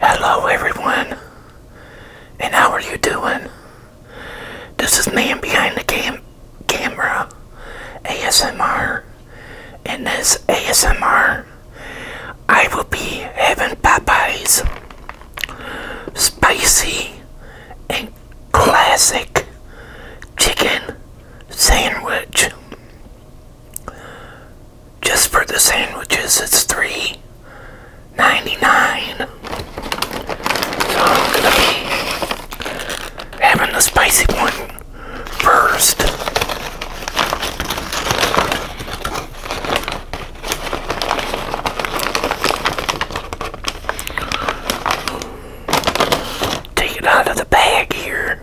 Hello, everyone, and how are you doing? This is Man Behind the cam Camera ASMR. In this ASMR, I will be having Popeye's spicy and classic chicken sandwich just for the sandwiches it's three ninety nine. So I'm gonna be having the spicy one first. Take it out of the bag here.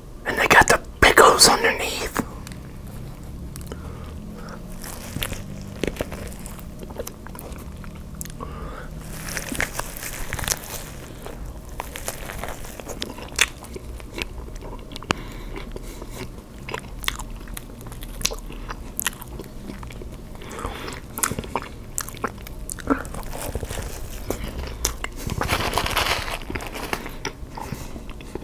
And they got the pickles underneath.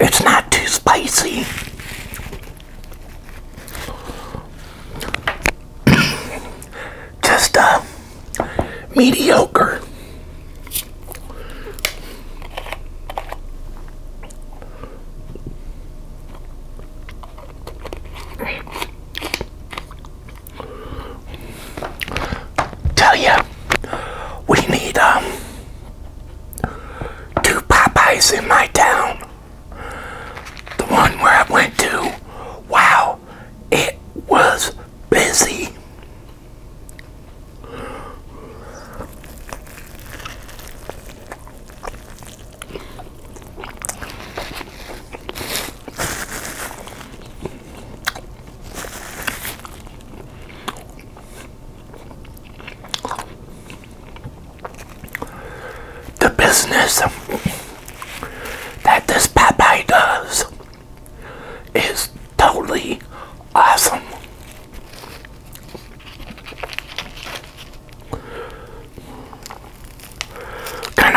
It's not too spicy. Just a uh, mediocre. Tell you, we need um two Popeyes in my town the one where I went to, wow, it was busy the business that this Popeye does is totally awesome. Kind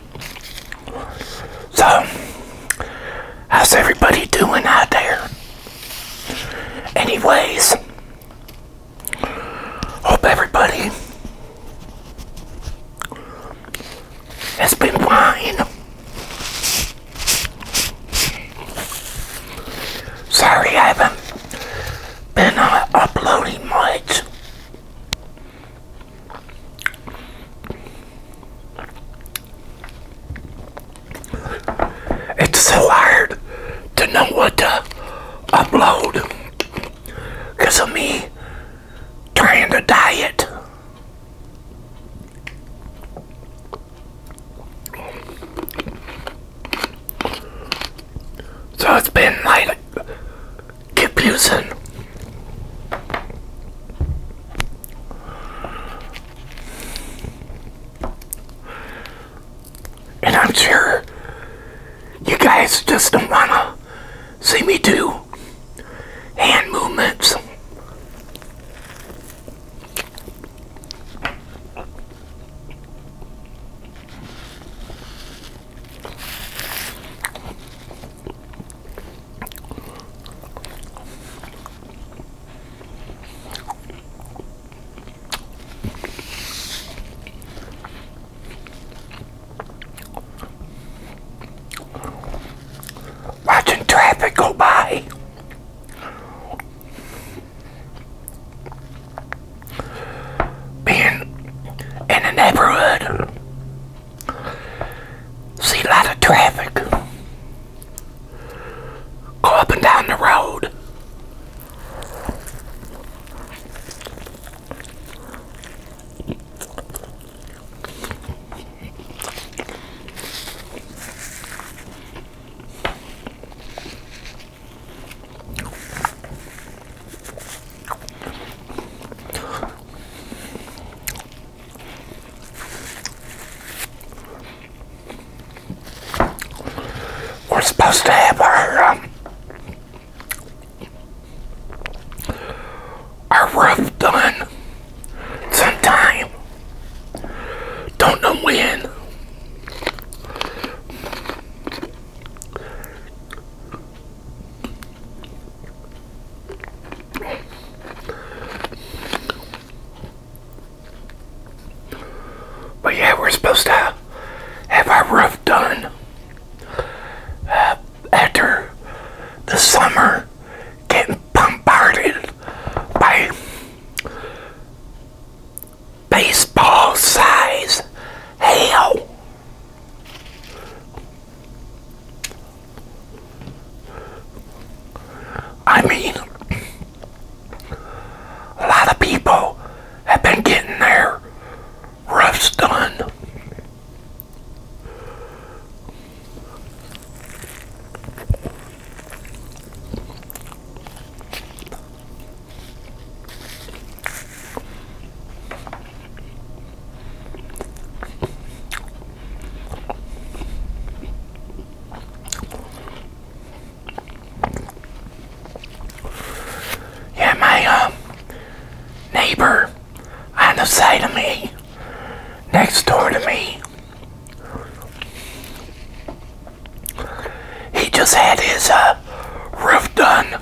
So, how's everybody doing out there? Anyways, hope everybody has been fine. Sorry, I haven't been not uh, uploading much. It's so hard to know what to upload because of me trying to diet. So it's been like keep losing. And I'm sure you guys just don't want to see me do hand movements. Watching traffic go by. Being in the neighborhood See a lot of traffic go up and down the road. We're supposed to have our um, our roof done sometime. Don't know when. But yeah, we're supposed to have our roof done uh, after the summer getting bombarded by baseball size hail. I mean, a lot of people have been getting their roofs done. Yeah, my uh, neighbor on the side of me, next door to me, he just had his uh, roof done.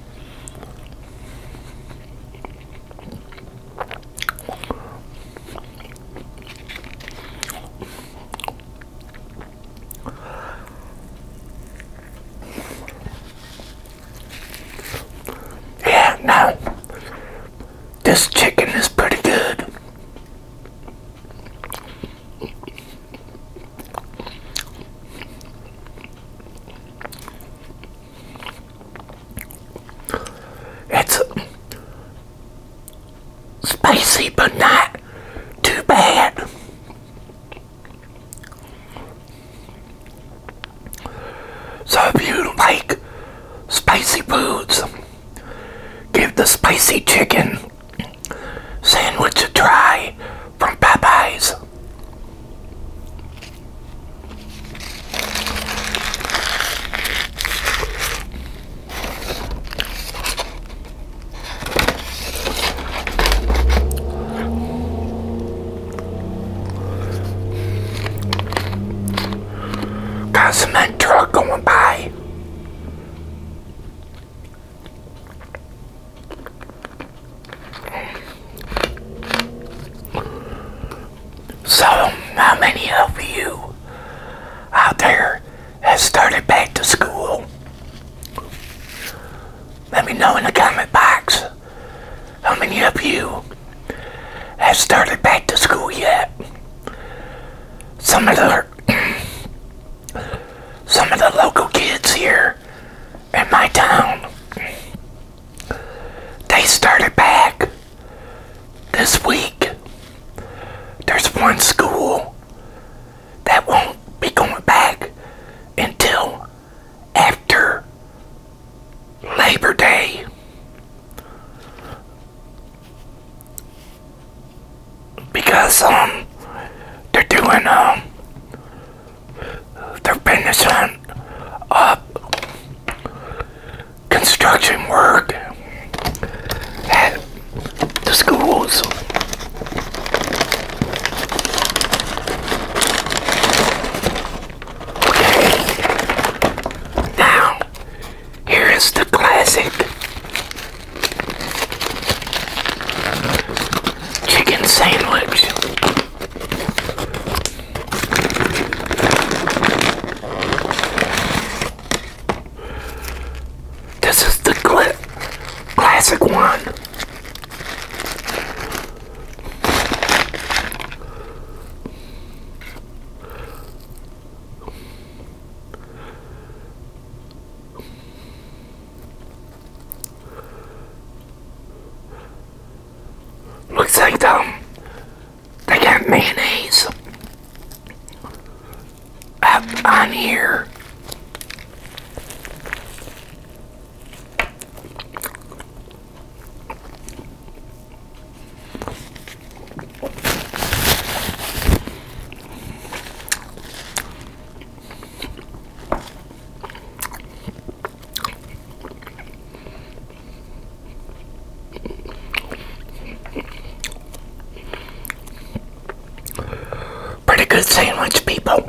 Yeah, no. This chicken is pretty good. It's spicy, but not too bad. So if you like spicy foods, give the spicy chicken sandwich a try from Popeyes. Got cement truck going by. So, how many of you out there have started back to school? Let me know in the comment box how many of you have started back to school yet. Some of the some of the local kids here in my town. They started back this week. There's one school that won't be going back until after Labor Day. Because um they're doing um they're finishing up uh, construction work at the schools. Okay. Now, here is the classic chicken sandwich. This is the clip, classic one. Looks like them. they got mayonnaise up on here. Pretty good sandwich, people.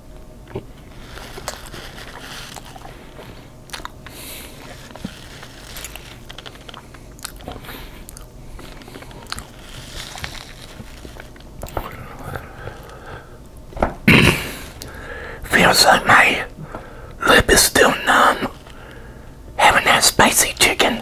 Feels like my lip is still numb having that spicy chicken.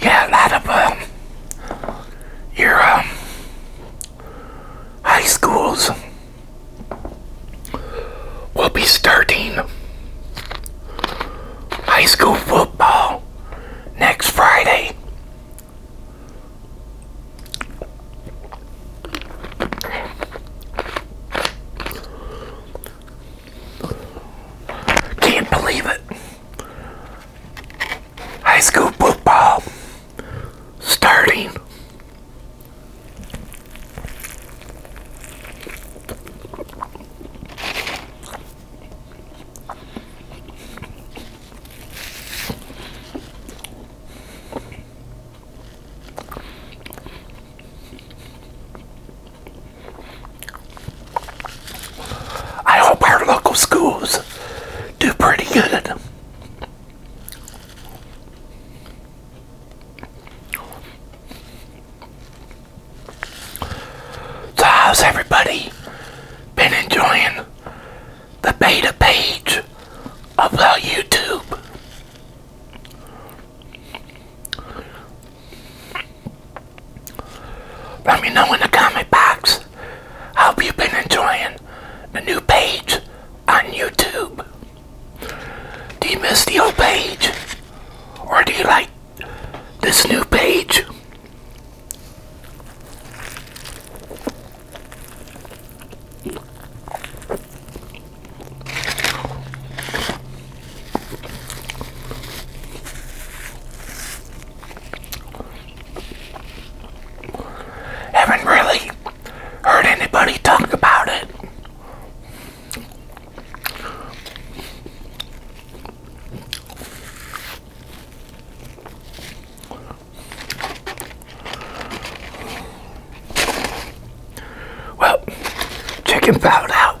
yeah, a lot of um, your um, high schools will be starting high school football next Friday. Can't believe it high school football starting. I hope our local schools do pretty good. So how's everybody been enjoying the beta page of uh, YouTube? Let me know in the comment box. hope you've been enjoying the new page on YouTube. Do you miss the old page? Or do you like this new page? Haven't really heard anybody talk about it. Well, chicken found out.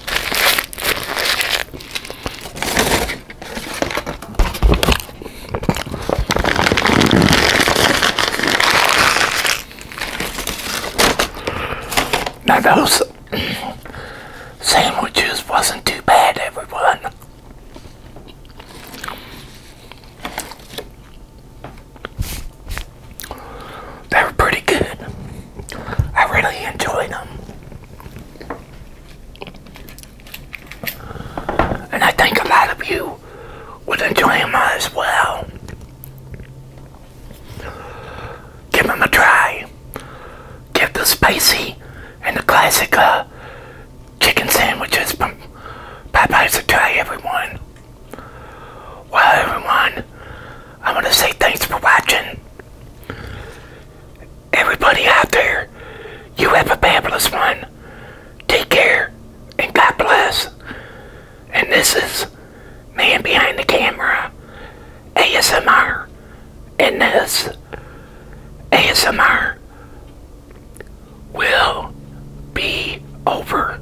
Now those sandwiches wasn't too bad, everyone. They were pretty good. I really enjoyed them. And I think a lot of you would enjoy them as well. Give them a try. Give the spicy and the classic uh, chicken sandwiches from Popeyes a try, everyone. Well, everyone, I want to say thanks for watching. Everybody out there, you have a fabulous one. Take care, and God bless. And this is Man Behind the Camera, ASMR, and this ASMR will be over.